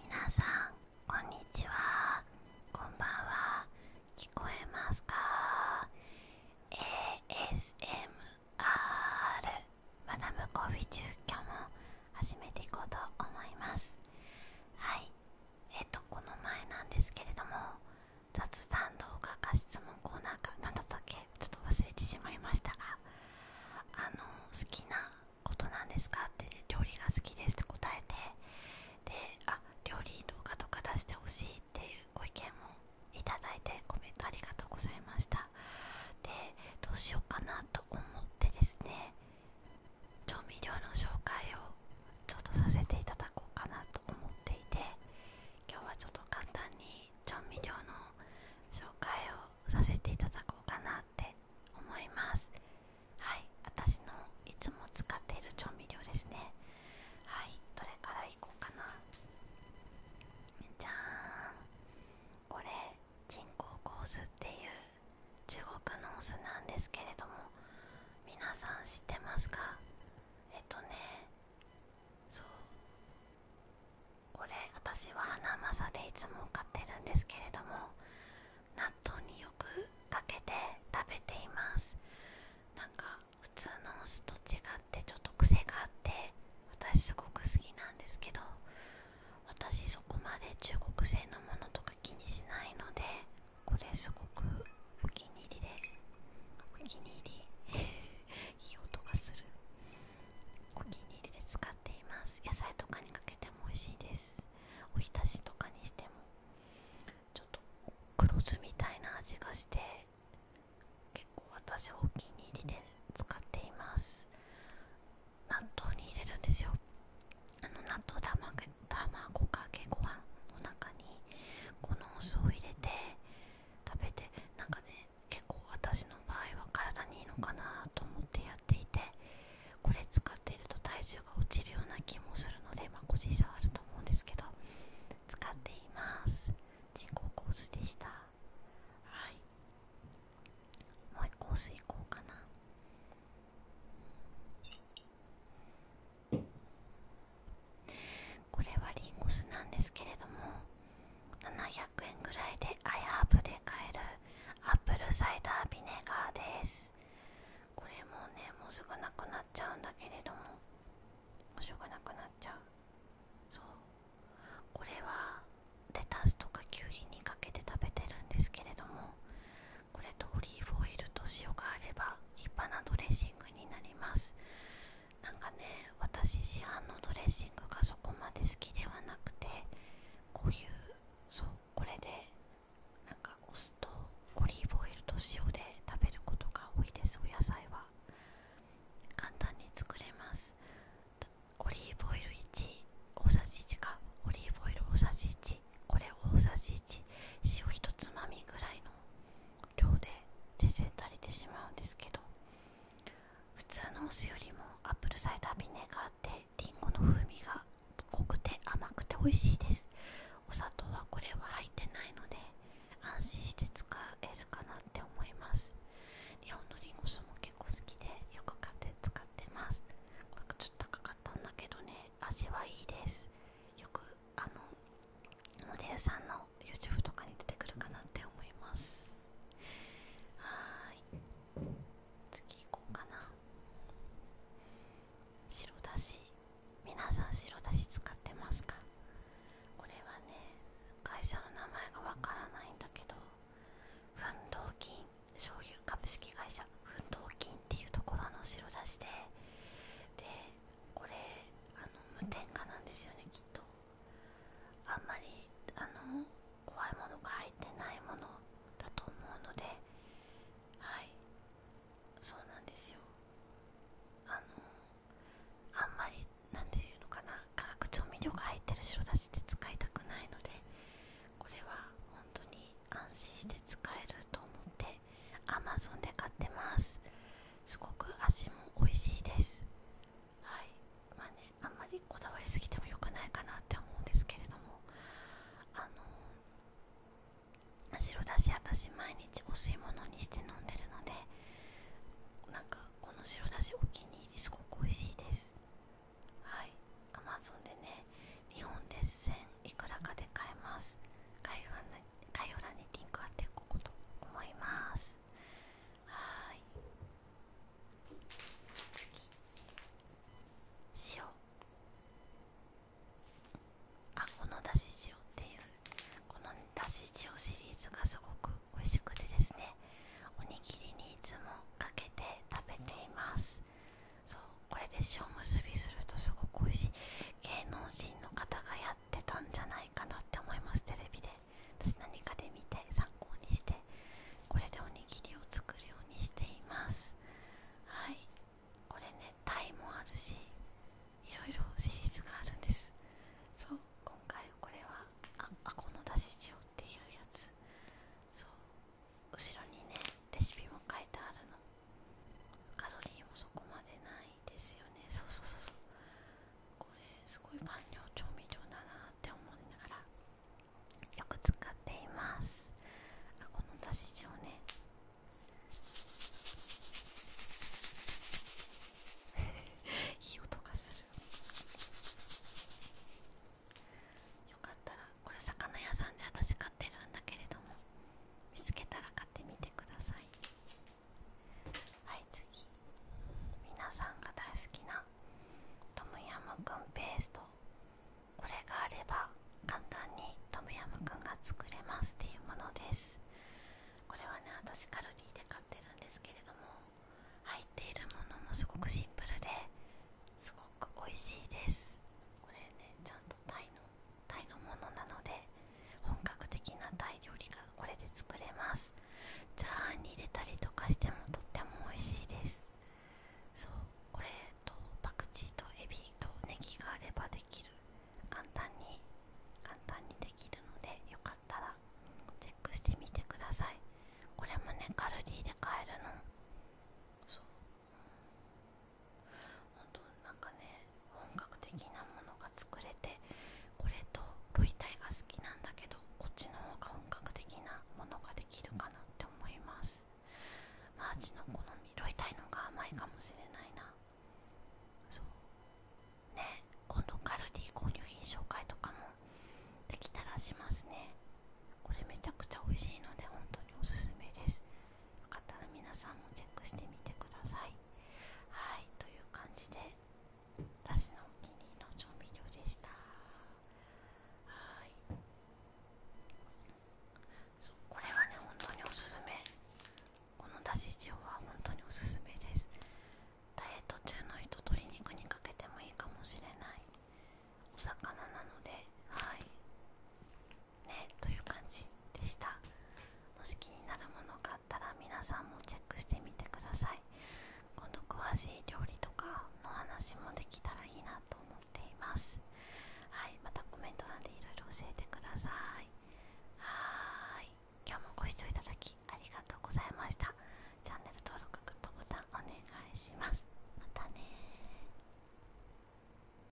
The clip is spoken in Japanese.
皆さんこんにちはこんばんは聞こえますか ASMR マダムコフィ中居も始めていこうと思いますはいえっ、とこの前なんですけれども雑談動画か質問コーナーかなんだったっけちょっと忘れてしまいましたがあの好きなことなんですかって、料理が好きですって答えてであ料理動画とか出してほしいっていうご意見もいただいてコメントありがとうございましたでどうしようかなと思ってですね調味料の紹介をちょっとさせていただこうかなと思っていて今日はちょっと簡単に調味料の紹介をさせていただこうかなって思いますはい私のいつも使っている調味料ですねはいどれからいこうかなじゃーんこれ人工香酢っていう中国のお酢なんですけれども皆さん知ってますかえっとねそうこれ私はハナマサでいつも買ってるんですけれども納豆によくかけて食べていますなんか普通のお酢と違ってちょっと癖があって私すごく好きなんですけど私そこまで中国製のものとか気にしないのでこれすごくお気に入りでお気に入りいい音がするお気に入りで使っています野菜とかにかけても美味しいですおひたしとかにしてもちょっと黒酢みたいな味がして結構私お気に入りで使っています納豆に入れるんですよあの納豆卵かけご飯の中にこのお酢を入れて食べてなんかね結構私の場合は体にいいのかなと思ってやっていてこれ使っていると体重が落ちるような気もするのでまあ個人差はあると思うんですけど使っています人工コースでしたはいもう一個香水いこうかなこれはリンゴ酢なんですけれども700円ぐらいでアイハーブで買えるアップルサイダービネガーですこれもねもうすぐなくなっちゃうんだけれどももうしょうがなくなっちゃうそうこれはレタスとかきゅうりにかけて食べてるんですけれどもこれとオリーブオイルと塩があれば立派なドレッシングになりますなんかね私市販のドレッシングがそこまで好きではなくてこういうそうこれでなんかお酢とオリーブオイルと塩で食べることが多いですお野菜は簡単に作れますオリーブオイル1大さじ1かオリーブオイル大さじ1これ大さじ1塩1つまみぐらいの量で全然足りてしまうんですけど普通のお酢よりもアップルサイダービネガーってりんごの風味が濃くて甘くて美味しいですお砂糖はこれは入ってないので安心して使えるかなって思います日本のりんご酢も結構好きでよく買って使ってますこれちょっと高かったんだけどね味はいいですよくあのモデルさんの YouTube とかに出てくるかなって思いますはーい次行こうかな白だし皆さん白だし使ってますかこれはね会社の名前がわからないんだけど奮闘金醤油株式会社奮闘金っていうところの白だしででこれあの無添加なんですよねきっとあんまりあの怖いものが入ってないものだと思うのではいそうなんですよあのあんまりなんていうのかな化学調味料が入ってる白だしって使いたくないのでこれは本当に安心して使えると思って Amazon で買ってますすごく味も美味しいですはいまあねあんまりこだわりすぎてもよくないかなって思うんですけれどもあの白だし私毎日お吸い物にして飲んでるのでなんかこの白だしお気に入りすごく美味しいですはいアマゾンでね日本で1000いくらかで買えます概要欄にリンク貼っておこうと思いますはい次塩あこのだし塩っていうこのだし塩シリーズがすごく美味しくてですねおにぎりにいつもかけて食べていますそうこれで塩結びするとすごく美味しい芸能人の方がやって。ったんじゃないかなって思いますテレビで私何かで見て参考にしてこれでおにぎりを作るようにしていますはいこれねタイもあるしいろいろシリーズがあるんですそう今回これはああこのだし塩っていうやつそう後ろにねレシピも書いてあるのカロリーもそこまでないですよねそうそうそうそうこれすごい万能調味料だなって思いながらよく使っていますあこのだし塩ねいい音がするよかったらこれ魚屋さんで私買ってるんだけれども見つけたら買ってみてくださいはい次皆さんが大好きなトムヤムクンペーストこれがあれば簡単にトムヤムクンが作れますっていうものですこれはね私カロリーで買ってるんですけれども入っているものもすごくシンプルですごく美味しいですこれねちゃんとタイのタイのものなので本格的なタイ料理がこれで作れますチャーに入れたりとかしてもとっても美味しいですそうこれとパクチーとエビとネギがあればできる簡単に簡単にできるのでよかったらチェックしてみてくださいこれもねカルディで買えるのそう本当なんかね本格的なものが作れてこれとロイタイが好きなんだけどこっちの方が本格的なものができるかなって思いますマーチの好みロイタイのが甘いかもしれないなそうね今度カルディ購入品紹介とかもできたらしますねこれめちゃくちゃ美味しいので本当におすすめですよかったら皆さんもチェックしてみてくださいはいという感じで私のお気に入りの調味料でしたはいそうこれはね本当におすすめこのだし塩は本当におすすめですダイエット中の人鶏肉にかけてもいいかもしれないお魚なのではいねという感じでしたもし気になるものがあったら皆さんもチェックしてみてください今度詳しい料理とかの話もできたらいいなと思っていますはいまたコメント欄でいろいろ教えてくださいはーい今日もご視聴いただきありがとうございましたチャンネル登録グッドボタンお願いしますまたね